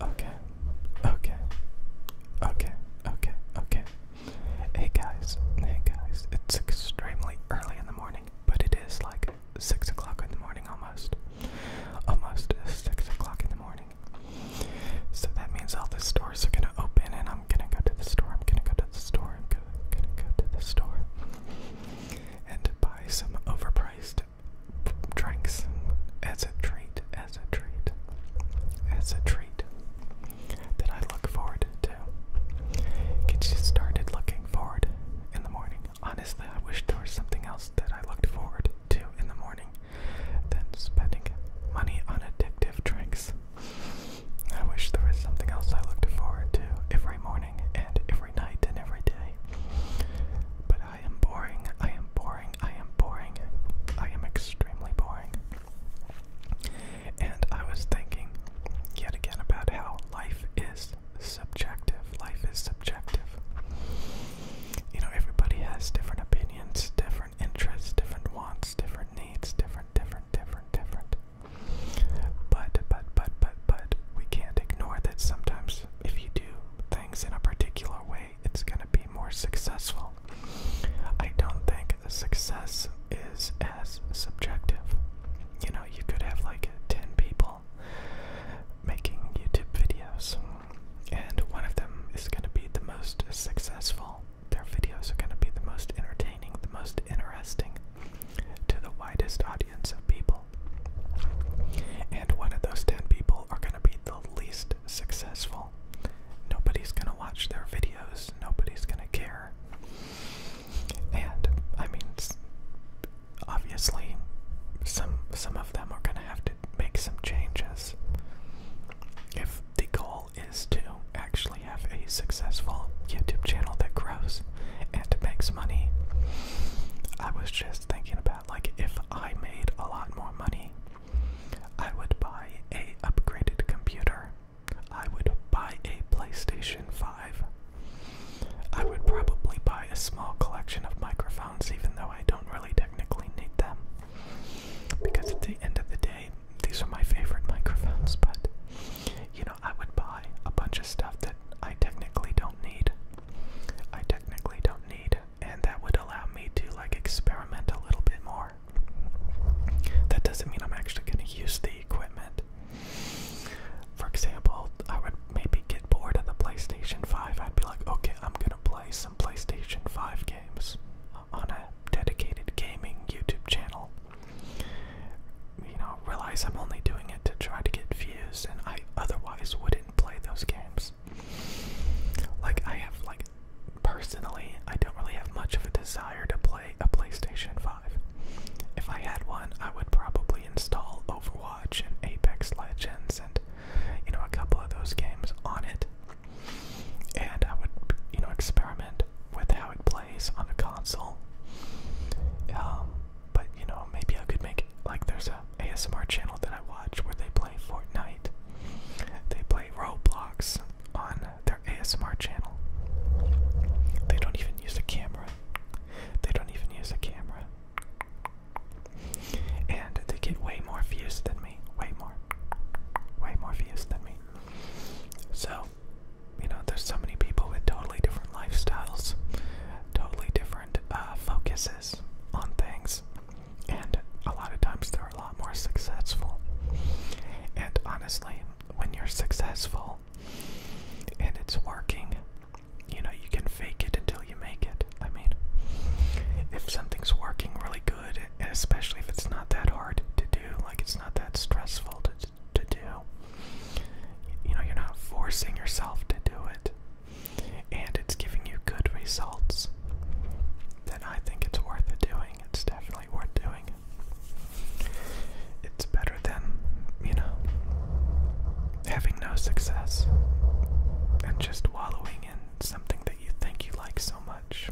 Okay, okay, okay, okay, okay. Hey guys, hey guys, it's extremely early in the morning, but it is like 6 o'clock in the morning almost. Almost 6 o'clock in the morning. So that means all the stores are gonna open and I'm gonna go to the store, I'm gonna go to the store, I'm gonna, gonna go to the store and buy some overpriced drinks as a treat, as a treat, as a treat that I look forward to. Get you started looking forward in the morning. Honestly, I wish there was something else that I looked forward to in the morning than spending money on addictive drinks. I wish there was something else I looked forward to every morning and every night and every day. But I am boring. I am boring. I am boring. I am extremely boring. And I was thinking yet again about how life is subjective. Life is subjective. You know, everybody has different opinions, different interests, different wants, different needs, different, different, different, different. But, but, but, but, but, we can't ignore that sometimes if you do things in a particular way, it's going to be more successful. I don't think success is as subjective. You know, you could have like 10 people making YouTube videos, and one of them is going to be the most successful. Their videos are going to be the most entertaining, the most interesting to the widest audience of people. And one of those 10 people are going to be the least successful. Nobody's going to watch their videos, nobody's going to care. And I mean obviously some some of them are going to have to make some changes. If the goal is to actually have a successful YouTube channel that grows and makes money, I was just thinking about that. Like if I made a lot more money, I would buy a upgraded computer. I would buy a PlayStation 5. I would probably buy a small collection of microphones, even though I don't really technically need them. Because at the end of the day, these are my favorite microphones, but you know, I would buy a bunch of stuff that I technically don't need. I technically don't need and that would allow me to like experiment a little bit more. That doesn't mean I'm actually going to use the equipment. For example, I would maybe get bored of the PlayStation 5. I'd be like, okay, I'm going to play some PlayStation 5 games on a dedicated gaming YouTube channel. You know, realize I'm only doing it to try to get views, and I otherwise wouldn't play those games. Like I have like personally, I don't really have much of a desire to play a PlayStation 5. If I had one, I would probably install Overwatch and Apex Legends and you know a couple of those games on it. And I would you know experiment with how it plays on the console. Um but you know, maybe I could make like there's a ASMR channel that I watch where they play Fortnite. They play Roblox on their ASMR channel. They don't even use a camera. They don't even use a camera. And they get way more views than me. Way more. Way more views than me. So, you know, there's so many people with totally different lifestyles, totally different uh, focuses on things and a lot of times they're a lot more successful. And honestly, when you're successful and it's working, you know, you can fake it until you make it. I mean, if something's working really good, and especially if it's not that hard to do, like it's not that stressful to, to do, you know, you're not forcing yourself to do it and it's giving you good results, then I think it's worth it doing. It's definitely worth doing. It's better than, you know, having no success and just wallowing in something that you think you like so much.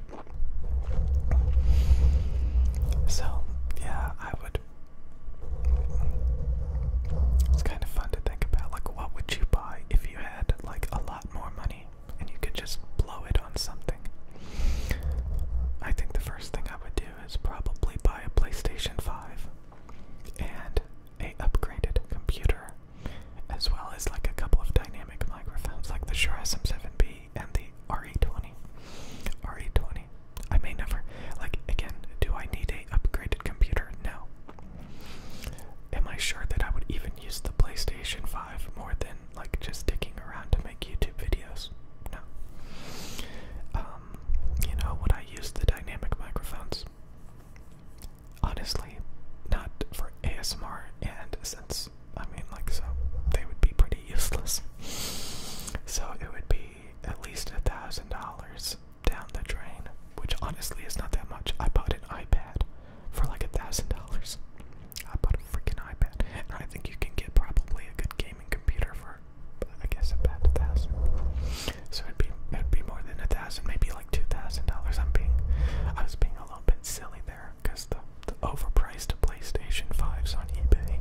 So, yeah, I would. It's kind of fun to think about. Like, what would you buy if you had like a lot more money and you could just blow it on something. I think the first thing I would do is probably buy a PlayStation 5 and a upgraded computer as well as like a couple of dynamic microphones like the Shure SM7B and the RE20. RE20. I may never like again, do I need a upgraded computer? No am I sure that I would even use the PlayStation 5 more than like just sticking around to make YouTube videos? No. Um, you know, would I use the dynamic microphones? Honestly, not for ASMR, and since I mean, like, so they would be pretty useless. So it would be at least a thousand dollars down the drain, which honestly is not that much. I bought an iPad for like a thousand dollars. I bought a freaking iPad, and I think you can get probably a good gaming computer for, I guess, about a thousand. So it'd be it'd be more than a thousand, maybe like two thousand dollars. I'm being, I was being a little bit silly there because the the overpriced PlayStation fives on eBay,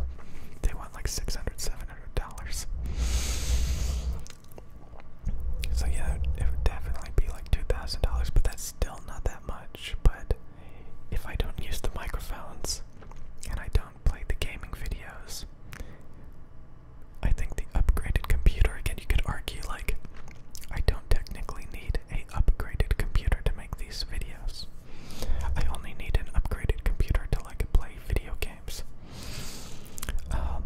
they want like six hundred, seven hundred dollars. So yeah, it would definitely be like two thousand dollars, but that's still not that much. But if I don't use the microphones and I don't play the gaming videos, I think the upgraded computer again. You could argue like I don't technically need a upgraded computer to make these videos. I only need an upgraded computer to like play video games. Um,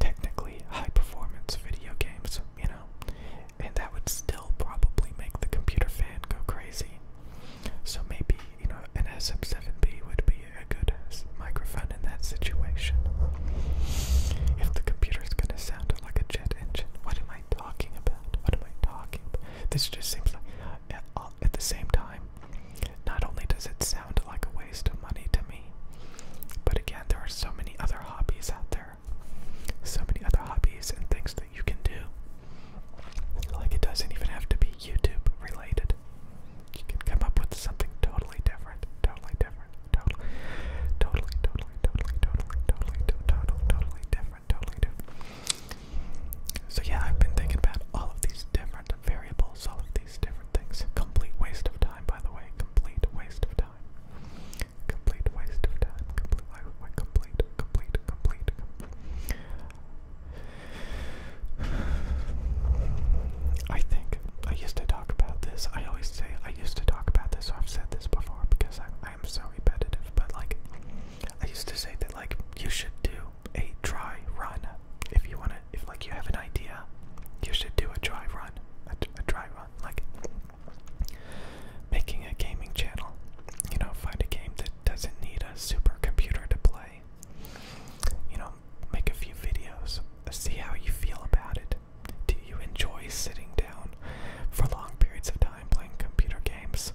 technically high performance video games, you know, and that would still probably make the computer fan go crazy. So maybe, you know, an SM7B would be a good microphone in that situation. If the computer is going to sound like a jet engine, what am I talking about? What am I talking about? This just seems like, uh, at the same time, not only does it sound like a waste of money to me. But again, there are so many other hobbies out there. So many other hobbies and things that you can do. Like, it doesn't even have to be YouTube related. You can come up with something totally different, totally different, totally, totally, totally, totally, totally, totally, totally, totally different, totally different. So, yeah, I've been thinking about all of these different variables, all of these different things. Complete waste of time, by the way, complete waste of time. Complete waste of time. Complete, like, complete, complete, complete. I think I used to talk about this. I always say I used to talk about this, so I've said this before because I, I am so repetitive. But like, I used to say that like you should do a try run if you want to. If like you have an idea, you should do a try run. A, a run. Like making a gaming channel, you know, find a game that doesn't need a supercomputer to play. You know, make a few videos, see how you feel about it. Do you enjoy sitting down for long periods of time playing computer games?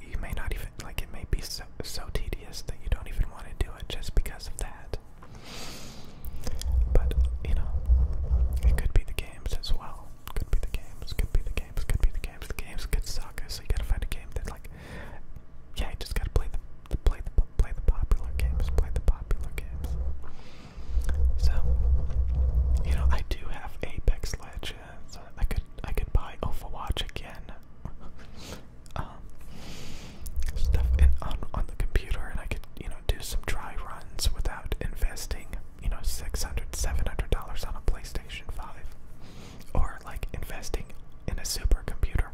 You may not even like it may be so so tedious that you don't even want to do it just because of that it. But, you know, it could be the games as well. Could be the games, could be the games, could be the games. The games could suck, so you gotta find a game that, like, yeah, you just gotta play the, the, play the, play the popular games, play the popular games. So, you know, I do have Apex Legends. I could, I could buy Overwatch again. um, stuff on the computer, and I could you know do some dry runs without investing you know 600 700 dollars on a PlayStation 5 or like investing in a supercomputer.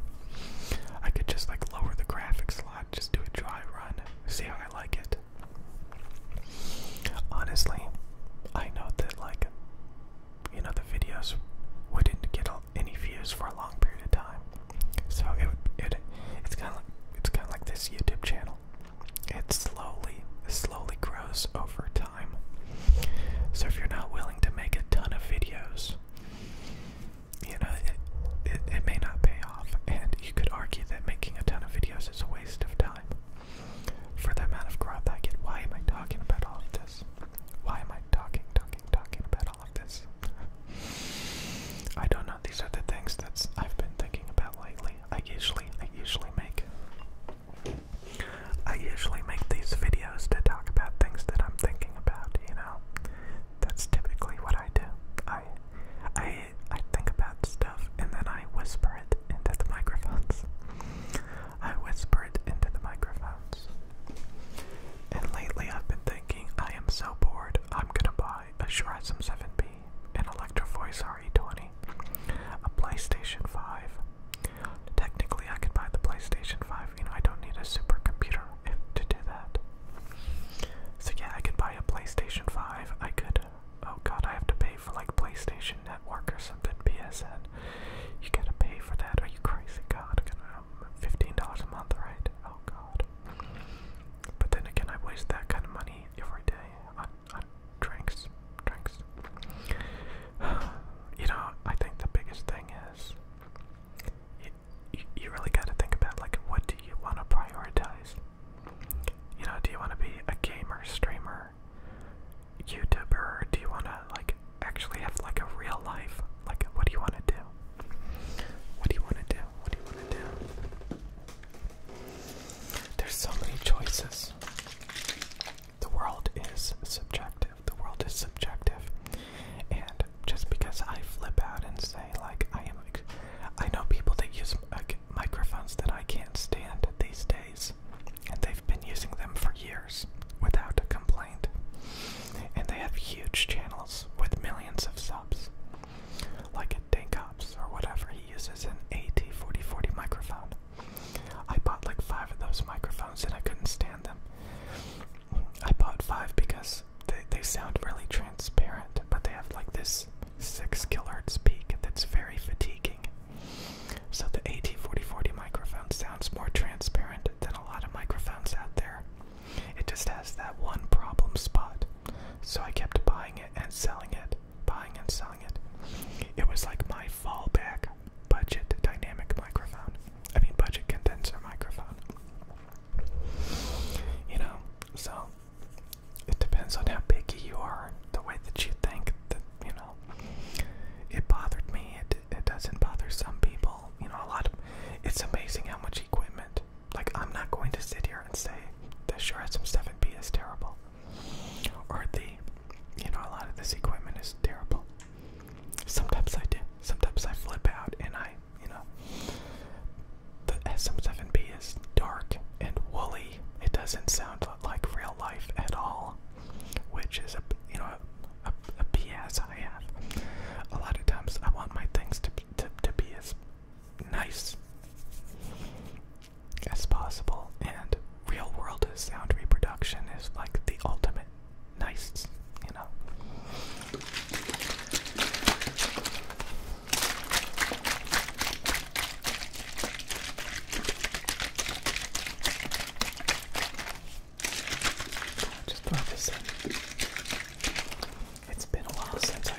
I could just like lower the graphics a lot, just do a dry run, see how I like it. Honestly, I know that like you know the videos wouldn't get any views for a long period of time. So it it it's kind of like, it's kind of like this YouTube channel. It slowly slowly grows over time. So if you're not willing to make a ton of videos, you know it it may not pay off, and you could argue that making a ton of videos is a waste of time. For the amount of growth I get, why am I talking about all of this? Why am I talking, talking, talking about at all of this. I don't know. These are the things that I've been thinking about lately. I usually, I usually make, I usually make these videos to talk about things that I'm thinking about. You know, that's typically what I do. I, I, I think about stuff and then I whisper it into the microphones. I whisper it into the microphones. And lately I've been thinking, I am so bored, I'm gonna buy I, a Shure SM7B, an Electro Voice RE20, a PlayStation 5. Technically, I could buy the PlayStation 5. You know, I don't need a supercomputer to do that. So, yeah, I could buy a PlayStation 5. I could. Oh god, I have to pay for like PlayStation Network or something, PSN. You gotta pay for that. Are you crazy? God, $15 a month, right? Oh god. But then again, I waste that kind of money every day on, on drinks. Drinks. you know, I think the biggest thing is you, you, you really got to think about like what do you want to prioritize. You know, do you want to be a gamer, streamer, YouTuber, or do you want to like actually have like a real life? Like, what do you want to do? What do you want to do? what do you want to do? There's so many choices. The world is subjective. The world is subjective. And just because I flip out and say, like, I am. like I know people that use microphones that I can't stand these days, and they've been using them for years without a complaint. And they have huge channels with millions of subs like at Dank or whatever, he uses an AT4040 microphone. I bought like five of those microphones and I couldn't stand them. I bought five because they, they sound really transparent, but they have like this 6 kilohertz peak that's very fatiguing. So the AT4040 microphone sounds more transparent than a lot of microphones out there. It just has that one problem spot. So I kept buying it and selling it, buying and selling it. It was like my fallback budget dynamic microphone. I mean, budget condenser microphone. You know, so it depends on how picky you are, the way that you think that, you know, it bothered me. It, it doesn't bother some people. You know, a lot it's amazing how much equipment like, I'm not going to sit here and say the Shure SM7B is terrible. Or the, you know, a lot of this equipment is terrible. Sometimes I do. Sometimes I flip out and I, you know, the SM7B is dark and woolly. It doesn't sound like real life at all, which is a, you know, a, a, a BS I have. A lot of times I want my things to to, to be as nice as possible. And real world sound reproduction is like the ultimate nice, you know. Just throw this it's been a while since I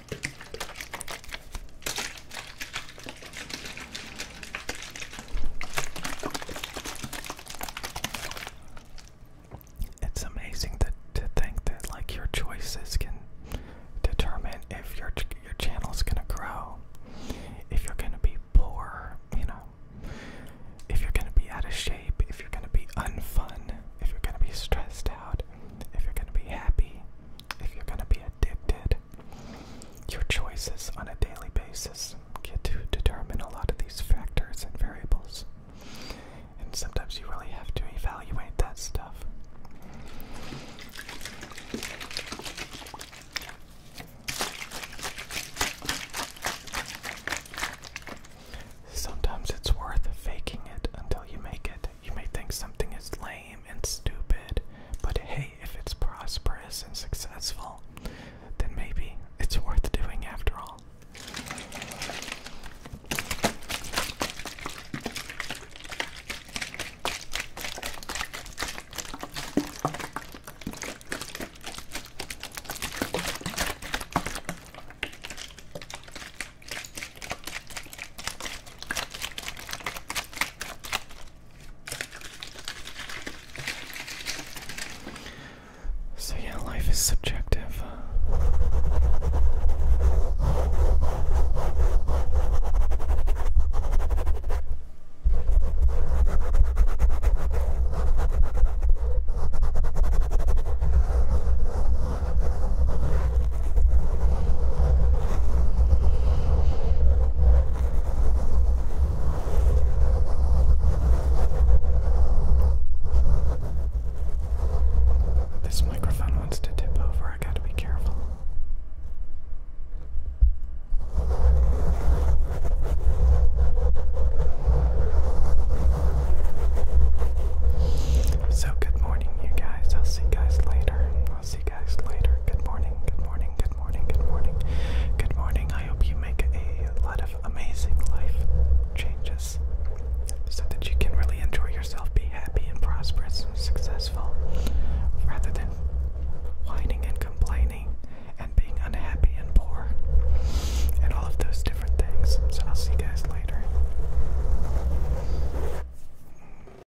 It's amazing to, to think that like your choices can determine if your your is gonna grow, if you're gonna be poor, you know, if you're gonna be out of shape, if you're gonna be unfun, if you're gonna be stressed out, if you're gonna be happy, if you're going to be addicted, your choices on a daily basis get to determine a lot of these factors and variables. And sometimes you really have to evaluate that stuff. Sometimes it's worth faking it until you make it. You may think something is lame and stupid, but hey, if it's prosperous and successful, then maybe it's worth doing after all. So, yeah, life is subjective. Uh. This microphone wants to tip over, I gotta be careful. So, good morning, you guys. I'll see guys later see guys later. Good morning, good morning, good morning, good morning, good morning. I hope you make a lot of amazing life changes so that you can really enjoy yourself, be happy and prosperous and successful rather than whining and complaining and being unhappy and poor and all of those different things. So I'll see you guys later.